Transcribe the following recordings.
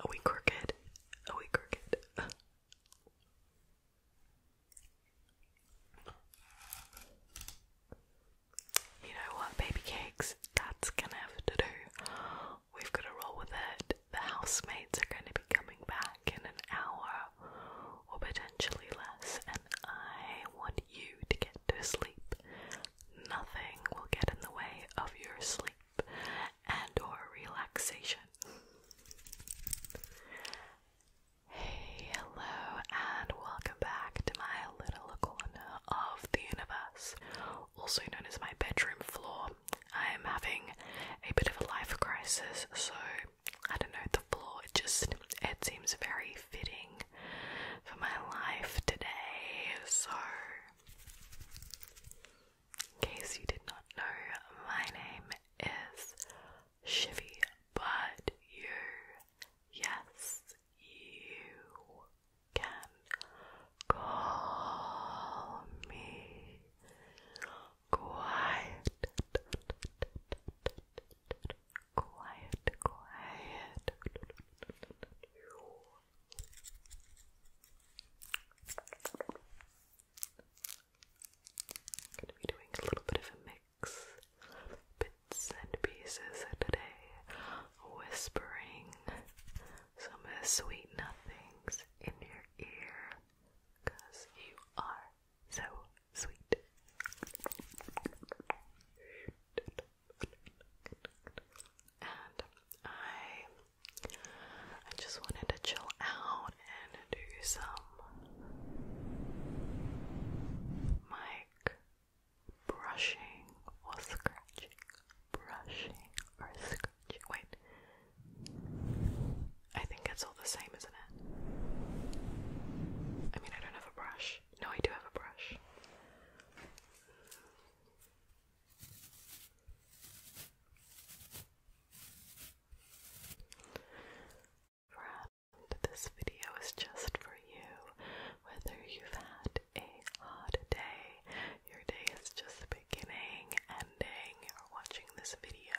Are we crooked? Are we crooked? you know what, baby cakes? That's gonna have to do. We've gotta roll with it. The housemates are gonna be coming back in an hour or potentially less, and I want you to get to sleep Nothing will get in the way of your sleep and or relaxation. Hey, hello, and welcome back to my little corner of the universe, also known as my bedroom floor. I am having a bit of a life crisis, so I don't know, the floor, it just, it seems very fitting for my life today, so in case you did not know, my name is Shivy, but you, yes, you can call me quiet. Quiet, quiet. I'm going to be doing a little bit of a mix, bits and pieces today, whispering some sweet nothings in your ear, because you are so sweet. And I I just wanted to chill out and do some mic brushing or scratching. Brushing or scratching. Wait. I think it's all the same, isn't it? I mean, I don't have a brush. No, I do have a brush. Friend, this video is just for you. Whether you've had a hard day, your day is just beginning, ending, or watching this video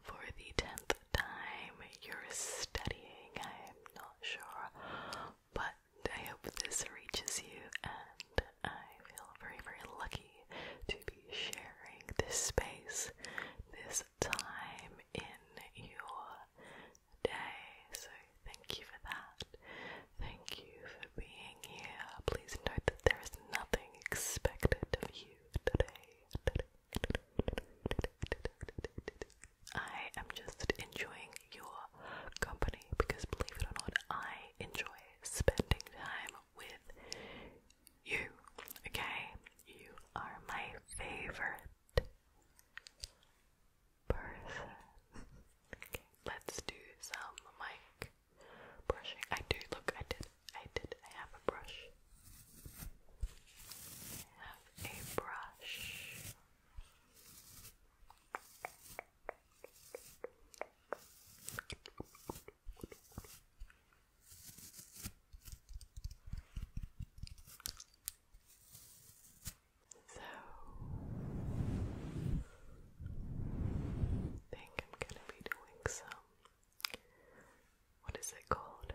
for the tenth time, you're studying, I am not sure, but I hope this reaches you, and I feel very, very lucky to be sharing this space, this time in your day. So, thank you for that. Thank you for being here. Please note that there is nothing expected of you today. I am just enjoying your company because believe it or not, I enjoy spending time with you. Okay? You are my favorite person. let's do some mic brushing. I do look I did I did I have a brush. I have a brush. So, I think I'm gonna be doing some. What is it called?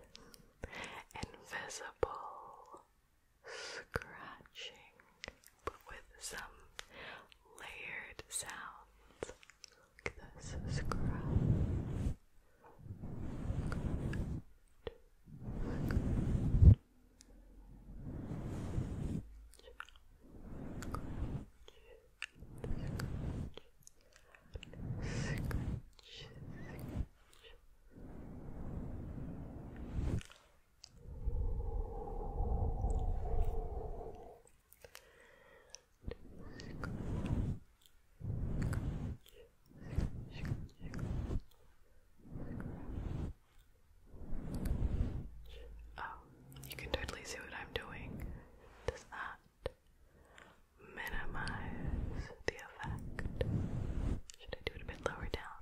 Invisible scratching but with some layered sounds. Oh, you can totally see what I'm doing. Does that minimize the effect? Should I do it a bit lower down?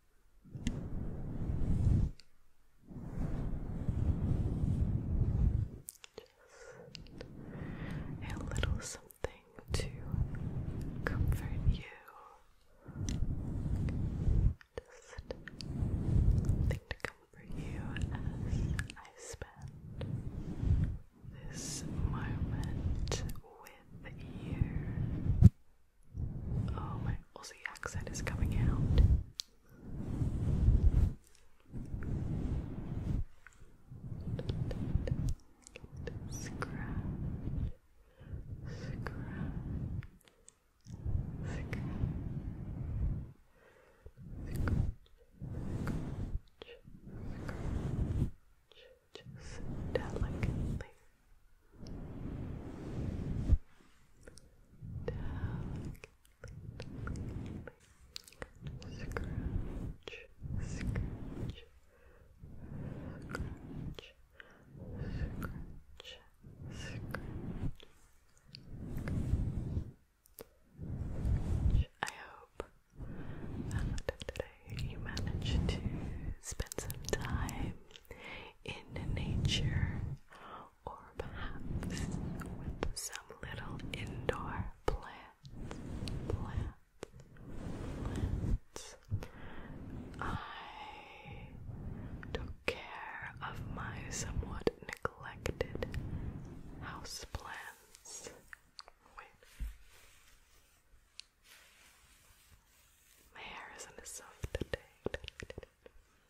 a little something to comfort you. Just something to comfort you as I spend this moment with you. Oh, my Aussie accent is coming out. Scratch, scratch, scratch, scratch, scratch, just delicately, Scratch, scratch, scratch, scratch, scratch. I hope that today you managed to spend some time in nature or perhaps with some little indoor plants, I took care of my somewhat neglected houseplants. Wait. My hair isn't as soft today.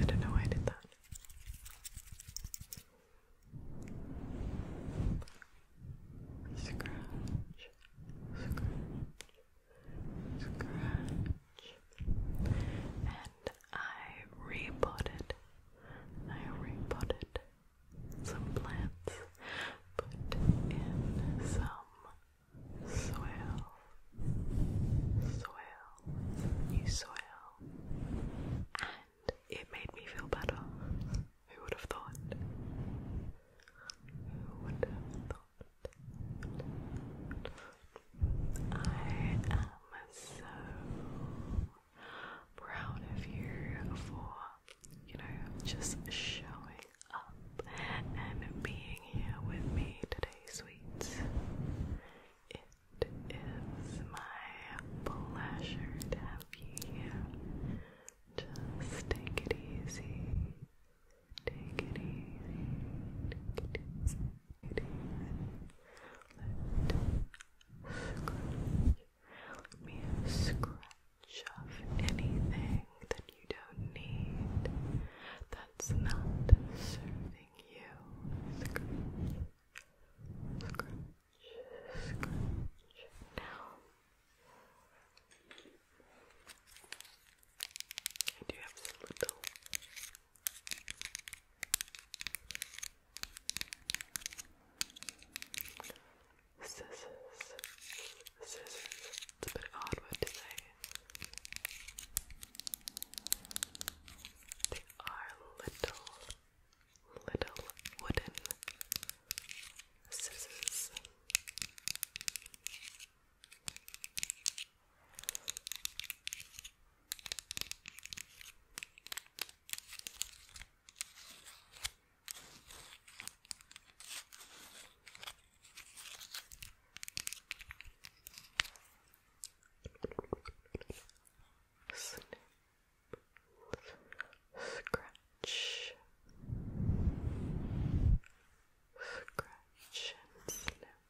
I don't know why I did that. And I repotted. I repotted some plants. Put in some Swell, swell, you swell, and it made me feel better. Who would have thought? Who would have thought? I am so proud of you for you know, just showing up and being here with me today, sweet. It is my pleasure to have you here. Just take it easy. Take it easy. Take it easy. Let me scratch shove anything that you don't need that's not serving you. Scratch, scratch, scratch. Now, I do have some little. Scissors. Scissors. It's a bit of a hard word to say. They are little, little wooden scissors. Snip. Scratch. Scratch and snip.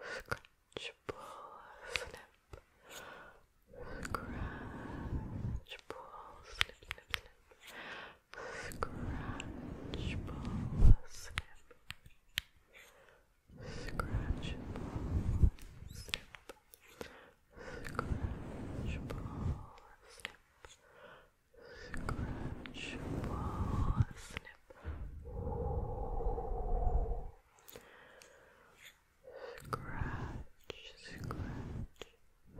Scratch, pull, snip. Scratch, pull, snip, snip, snip. Scratchable snip. Scratchable snip. Scratchable snip. Scratchable snip. Scratch, scratch,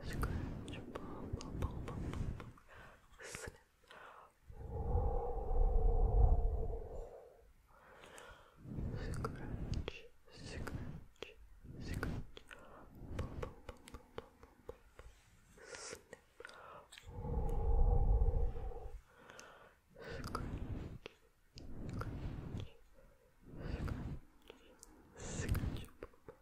Scratch, pull, pull, pull, pull, pull, snip. Scratch, scratch, scratch, pull, pull, pull, pull, pull, pull, pull, snip. Scratch, scratch, scratch, scratch, pull, pull, pull, pull,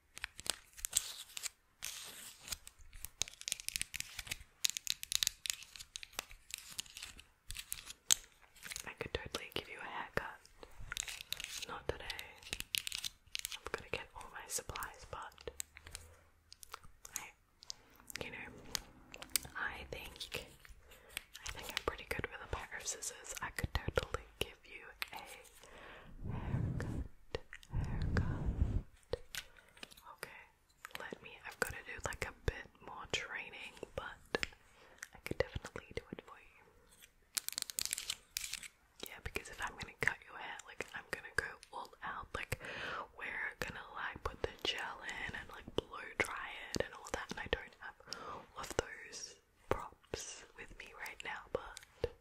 I could totally give you a haircut. Not today. I'm gonna get all my supplies, but you know, I think I think I'm pretty good with a pair of scissors. I could totally give you a haircut, haircut. Okay, let me, I've got to do like a bit more training, but I could definitely do it for you. Yeah, because if I'm gonna cut your hair, like I'm gonna go all out, like we're gonna like put the gel in and like blow dry it and all that, and I don't have all of those props with me right now, but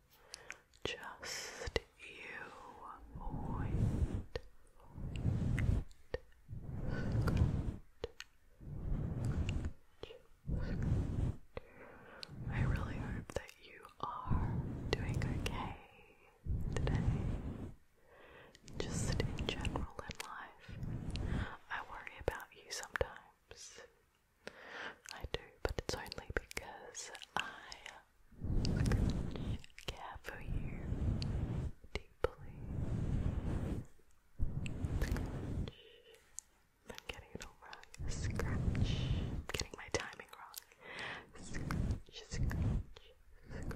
just you avoid, I really hope that you are doing okay today. Just in general in life, I worry about you sometimes. I do, but it's only because I care for you deeply. I'm getting it wrong. Scratch. getting my timing wrong. Scratch, scratch, scratch, scratch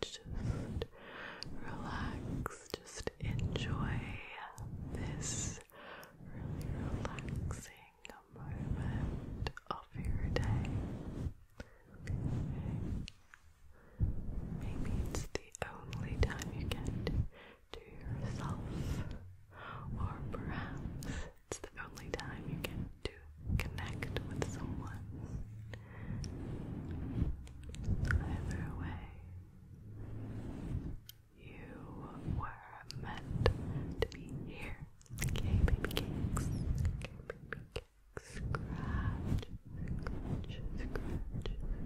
Just relax. Just enjoy this really relaxing a moment of your day. Maybe it's the only time you get to yourself, or perhaps it's the only time you get to connect with someone. Either way, you were meant to be here Okay, baby cakes. Okay, baby cakes. Scratch, scratch, scratch,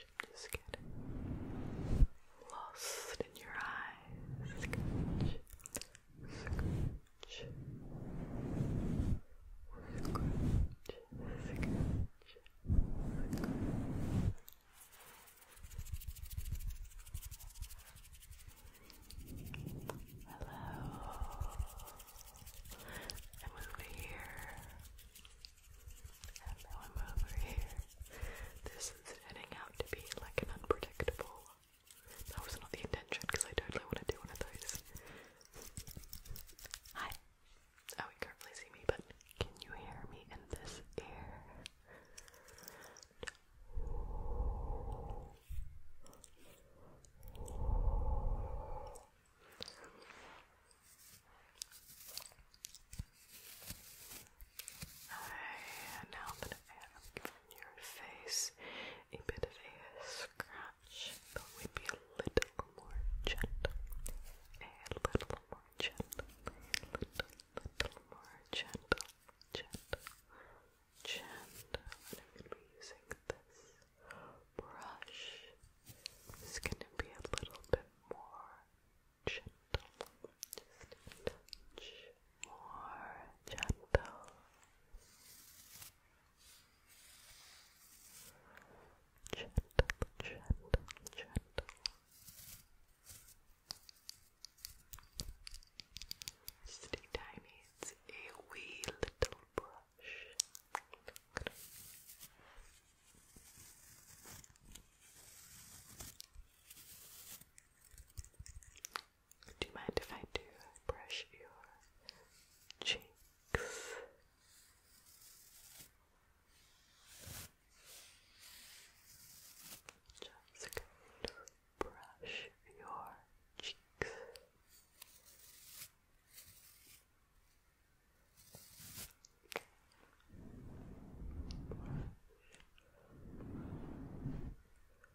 scratch. Scratch, scratch. Just getting lost in your eyes. Hello, I'm over here, and now over here. This is heading out to be like an unpredictable that was not the intention because I totally want to do one of those. Hi. Oh, you can't really see me, but can you hear me in this ear? I now that I have your face, a bit of a scratch, but we'd be a little more gentle, a little more gentle, a little, little more gentle, gentle, gentle. And I'm gonna be using this brush. It's gonna be a little bit more gentle, just a touch more gentle. Gentle, gentle, gentle. Stay tiny, it's a wee little brush. Do you mind if I do brush your cheeks? Just brush your cheeks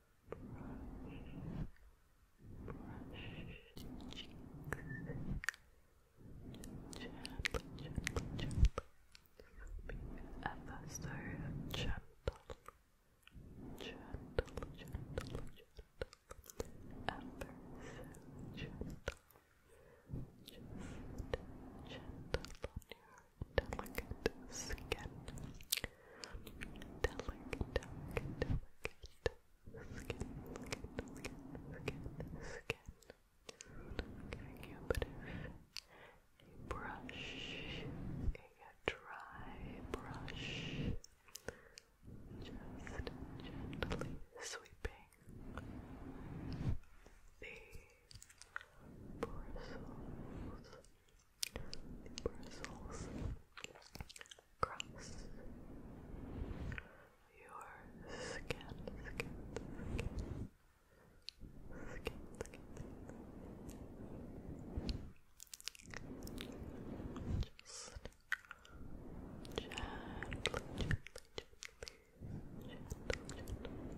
your cheeks gently, gently, gently be ever so gentle gentle, gentle, gentle ever gentle gentle delicate skin Delicate, delicate, delicate skin, skin, skin, skin, skin. i a bit of a brush, a dry brush, just gently sweeping the bristles bristles across your skin, skin, skin. Skin, Just gently, gently, gently, gently,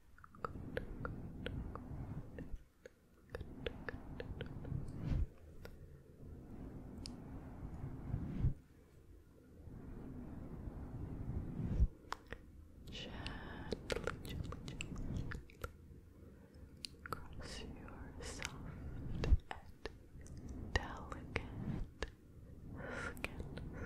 Good, good, Cross your soft and delicate skin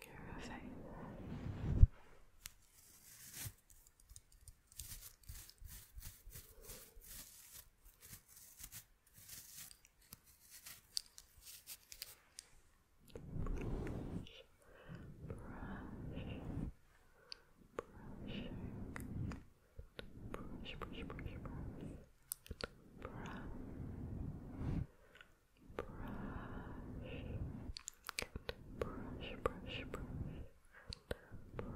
care of Brush, brush, brush, brush, brush, brush, brush, brush, brush, brush, brush, brush, brush.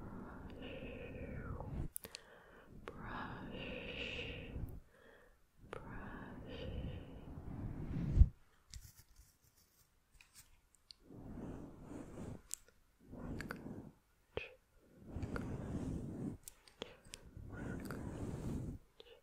Scratch, scratch, scratch,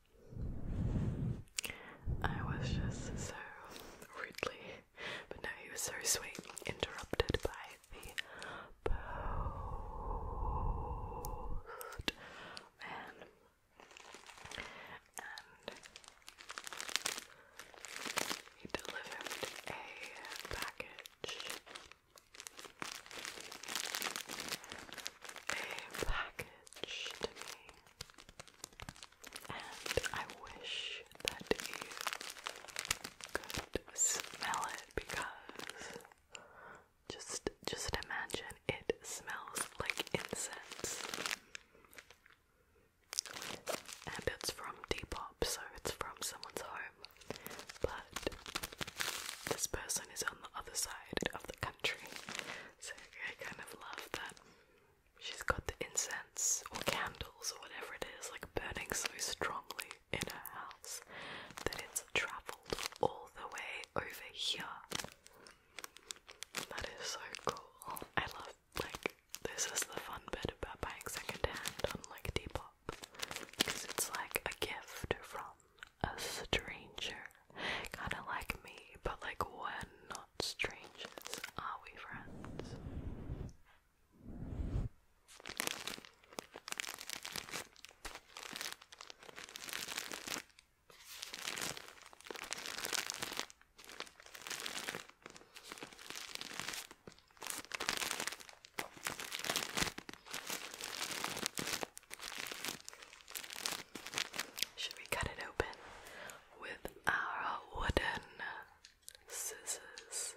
I was just so rudely, but no, he was so sweet, interrupted by the postman. And he delivered a package. A package to me. And I wish that you could smell it because just just imagine it smells like incense. And it's from Depop, so it's from someone's home. But this person is on the other side of the country. So I kind of love that she's got the incense or candles or whatever it is like burning so strongly in her house that it's travelled all the way over here. That is so cool. I love like this is the fun bit about buying secondhand on like Depop because it's like a gift from a stranger. Kinda like me, but like we're not strangers, are we friends? Should we cut it open with our wooden scissors?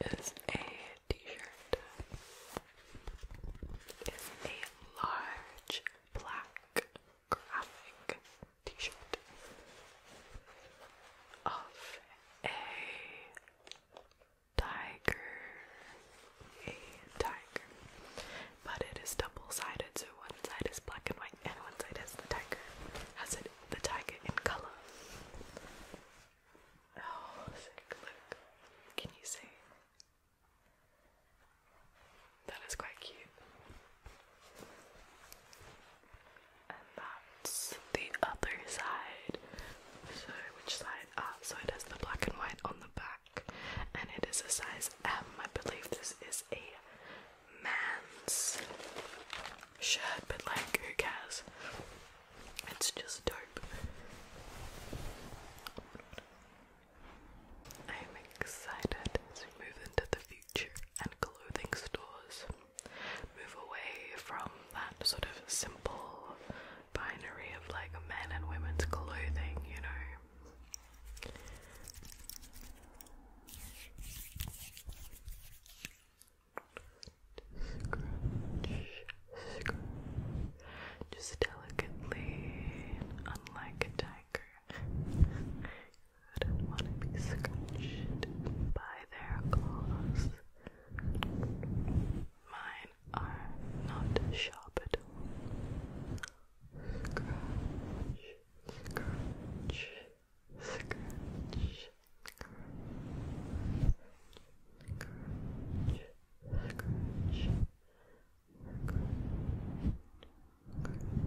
It is a t-shirt is a large black graphic t-shirt of a tiger, a tiger, but it is double-sided, so one side is black and white, and one side has the tiger, has the tiger in color. Oh, sick. Look. Can you see? That is quite cute. And that's the other side. So, which side? Ah, so it has the black and white on the back. And it is a size M. I believe this is a man's shirt, but like, who cares? It's just dope. I am excited to move into the future and clothing stores. Move away from that sort of simple binary of like men and women's clothing, you know. Scratch, scratch, just delicately, unlike a tiger. don't want to be scratched by their claws. Mine are not sharp at all. scratch, scratch, scratch. And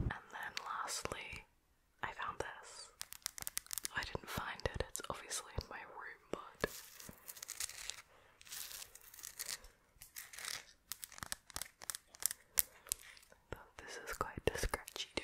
then lastly, I found this. I didn't find it, it's obviously in my room, but. this is quite a scratchy too.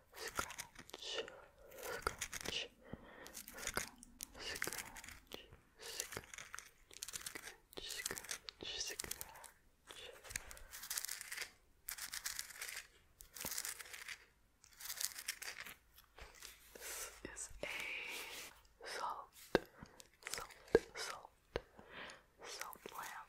scratch, scratch, scratch, scratch. Scratch, scratch, scratch. This is a salt, salt, salt, salt lamp.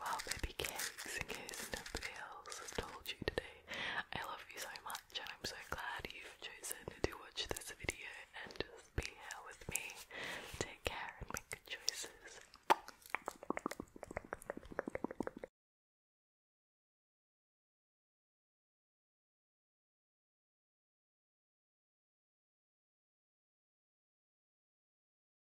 Well, baby cakes, in case nobody else has told you today, I love you so much and I'm so glad you've chosen to watch this video and just be here with me. Take care and make good choices.